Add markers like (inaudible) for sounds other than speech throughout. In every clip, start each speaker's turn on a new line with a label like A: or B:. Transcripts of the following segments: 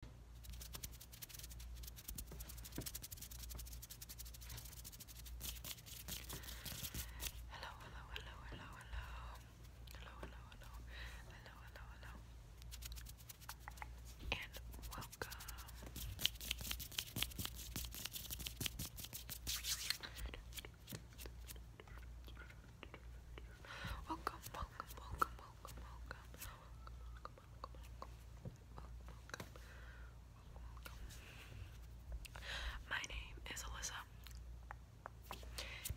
A: Hello, hello, hello, hello, hello. Hello, hello, hello. Hello, hello, And welcome. Welcome, welcome, welcome, welcome, welcome, welcome, welcome, welcome, welcome, My name is Alyssa,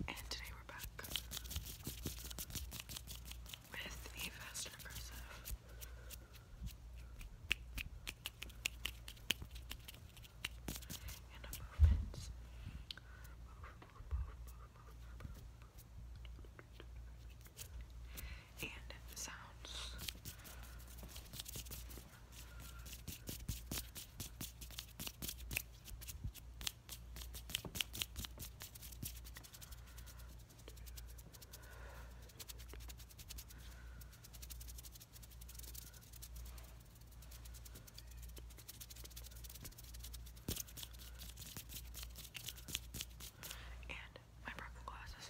A: and today we're back with the Fast Aggressive and sounds and my broken glasses.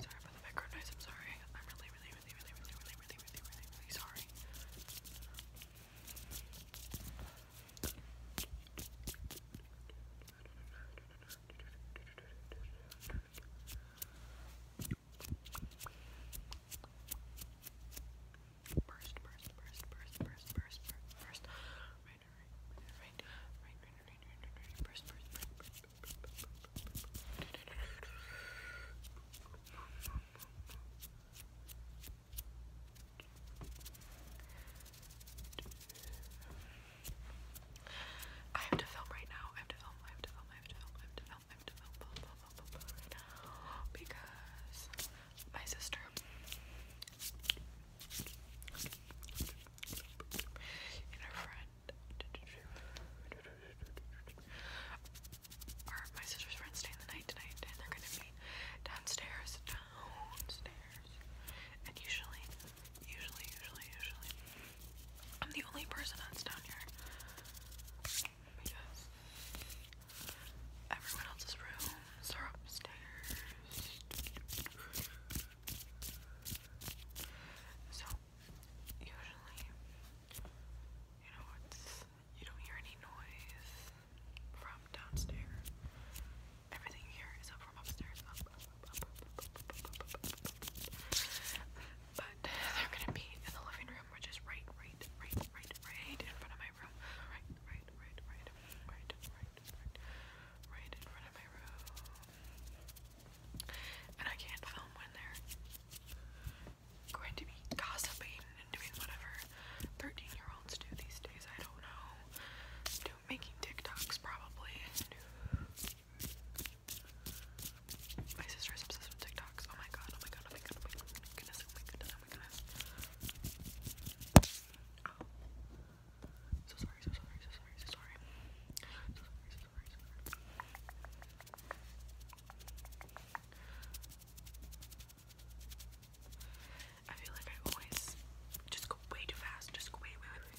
A: Sorry about the background noise, I'm sorry. I'm really, really, really, really, really, really, really, really, really, really sorry. Burst, burst, burst, burst, burst, burst, burst, burst. Right, right, right, right, right, right, right, right, right, right. Burst, burst, burst, burst, burst, burst, burst, burst. Right, I have to film right now. I have to film. I have to film. I have to film. I have to film. I have to film. because my sister and her friend, or my sister's friend, stay the night tonight, and they're gonna be downstairs, downstairs, and usually Usually, usually, usually. I'm the only person that's down here. everyone else's rooms are upstairs. So, usually, you know, you don't hear any noise from downstairs. Everything here is but they're gonna be in the living room, which is right, right, right, right, right in front of my room. Right, right, right, right, right, right, right, in front of my room. And I can't film when they're going to be gossiping and doing whatever 13 year olds do these days. I don't know. Do making TikToks probably. My sister is obsessed with TikToks. Oh, oh, oh my god, oh my god, oh my goodness, oh my goodness, oh my goodness. So oh. sorry, so sorry, so sorry, so sorry. So sorry, so sorry, so sorry. I feel like I always just go way too fast. Just go way, way, way, way,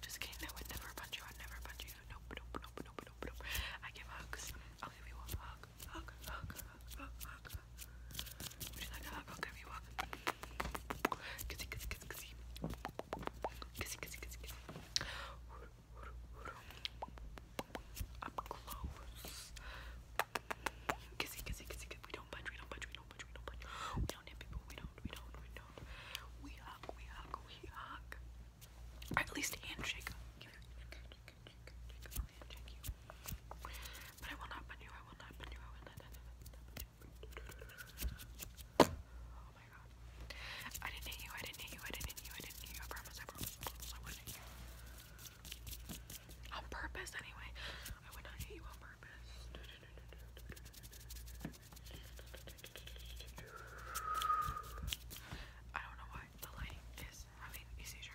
A: Just kidding, I would never punch you, I'd never punch you. Nope, nope, nope, nope, nope, nope. I give hugs. I'll give you a hug. Hug, hug, hug, hug, hug. Would you hug? I'll give you a hug. Kissy, kissy, kissy, kissy. Kissy, kissy, kissy, kissy. Up close. Kissy, kissy, kissy, kissy. We don't punch, we don't punch, we don't punch, we don't punch. We don't hit people, we don't don't, we don't, we don't. We hug, we hug, we hug. Or at least handshake. I'll handshake you. But I will not bend you, I will not bend you, I will not bend you. Oh my god. I didn't hit you, I didn't hit you, I didn't hit you, I didn't hit you. I promise, I promise, I promise, I wouldn't hit you. On purpose, anyway. I would not hit you on purpose. I don't know why the light is having a seizure.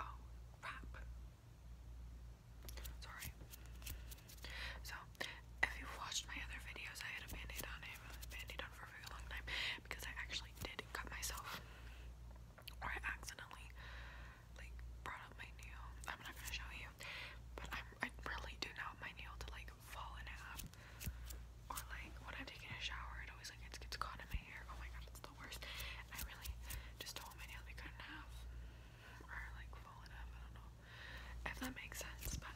A: Oh, crap. Sorry. So, if you watched my other videos, I had a band on. I had a band on for a very long time because I actually actually did cut myself, or I accidentally like brought my nail. I'm not gonna show you, but i really do not my nail to like fall in half, or like when I'm taking a shower, it always like gets caught in my hair. Oh my god, it's the worst. I really just do my nail to cut in half, or like fall in half. I don't know if that makes sense, but.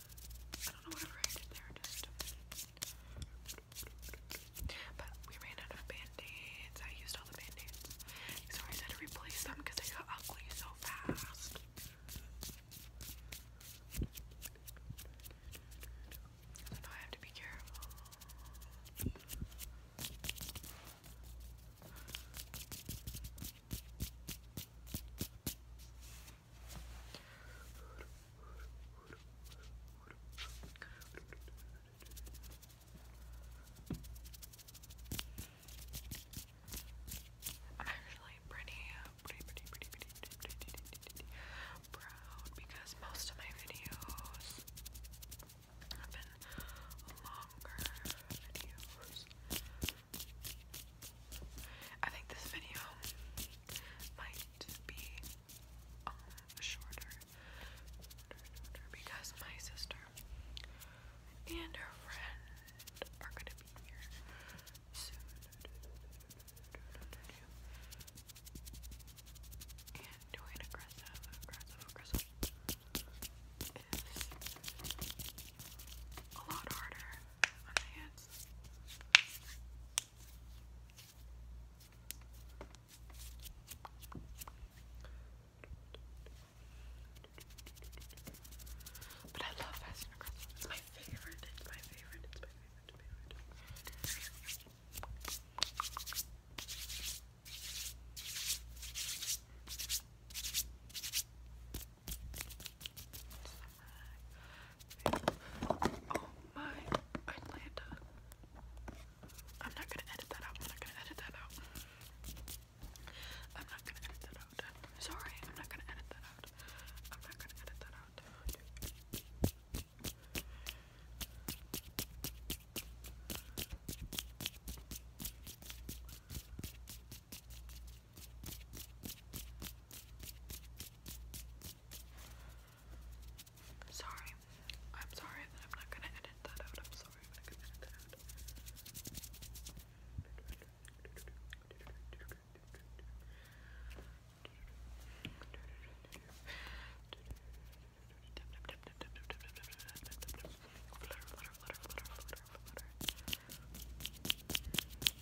A: I don't know what I write there but we ran out of band-aids. I used all the band-aids. So I had to replace them because they got ugly so fast. So I have to be careful. I'm actually pretty, pretty, pretty, pretty, pretty, pretty, pretty, proud because most of my videos have been longer videos. I think this video might to be uh, shorter, because my sister and her friend are gonna be here soon. And doing aggressive, aggressive, aggressive is a lot harder on my But I love Fast and Aggressive. It's my favorite. It's my favorite. It's my favorite. Oh my Atlanta. I'm not gonna edit that out. I'm not gonna edit that out. I'm not gonna edit that out. Sorry, I'm not gonna edit that out. I'm not gonna edit that out. Sorry. I'm sorry that I'm not gonna edit that out. I'm sorry I'm gonna edit that (laughs)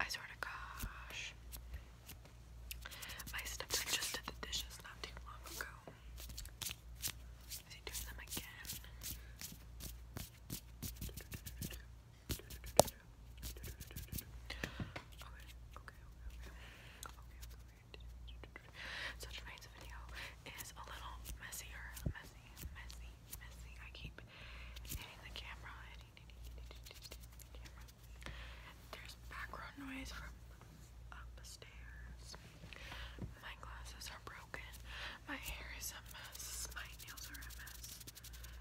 A: I swear to gosh. My stepson just did the dishes not too long ago. Is he doing them again? Okay, okay, okay, okay. So tonight's video is a little messier, messy, messy, I keep hitting the camera, There's background noise from upstairs. My glasses are broken. My hair is a mess. My nails are a mess.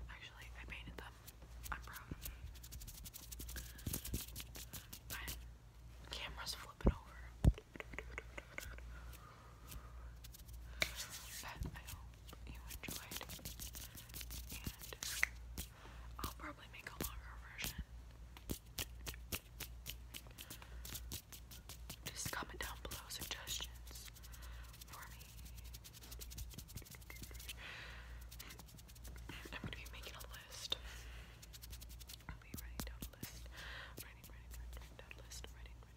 A: Actually, I painted them. I'm proud of them. My camera's flipping over. But I hope you enjoyed. And I'll probably make a longer version. Just comment down below suggestions for me. I'm gonna be making a list. I'll be writing down a list. writing, writing, writing down a list. Writing, writing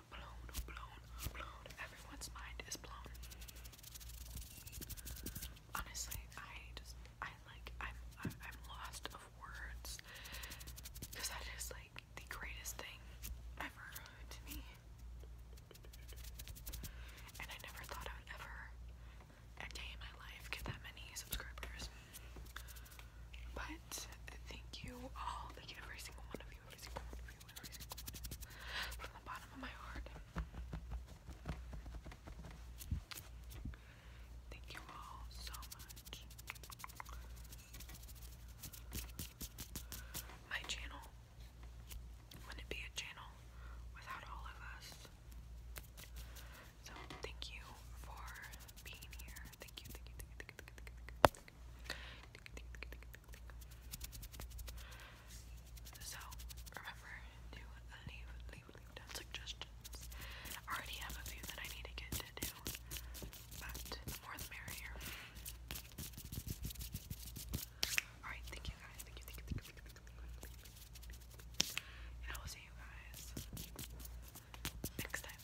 A: Everyone's mind is blown. Honestly, I just, I like, I'm, I'm lost of words because that is like the greatest thing ever to me. And I never thought I would ever, a day in my life, get that many subscribers. But thank you all, thank you every single one of you. Thank you all so much. My channel wouldn't be a channel without all of us. So thank you for being here. thank you, thank you, thank you, thank you. So remember to leave, leave, leave down suggestions. I already have a few that I need to get to do, but the more the merrier. Alright, thank you guys. Thank you, thank you, thank you, thank you, thank you. And I will see you guys next time.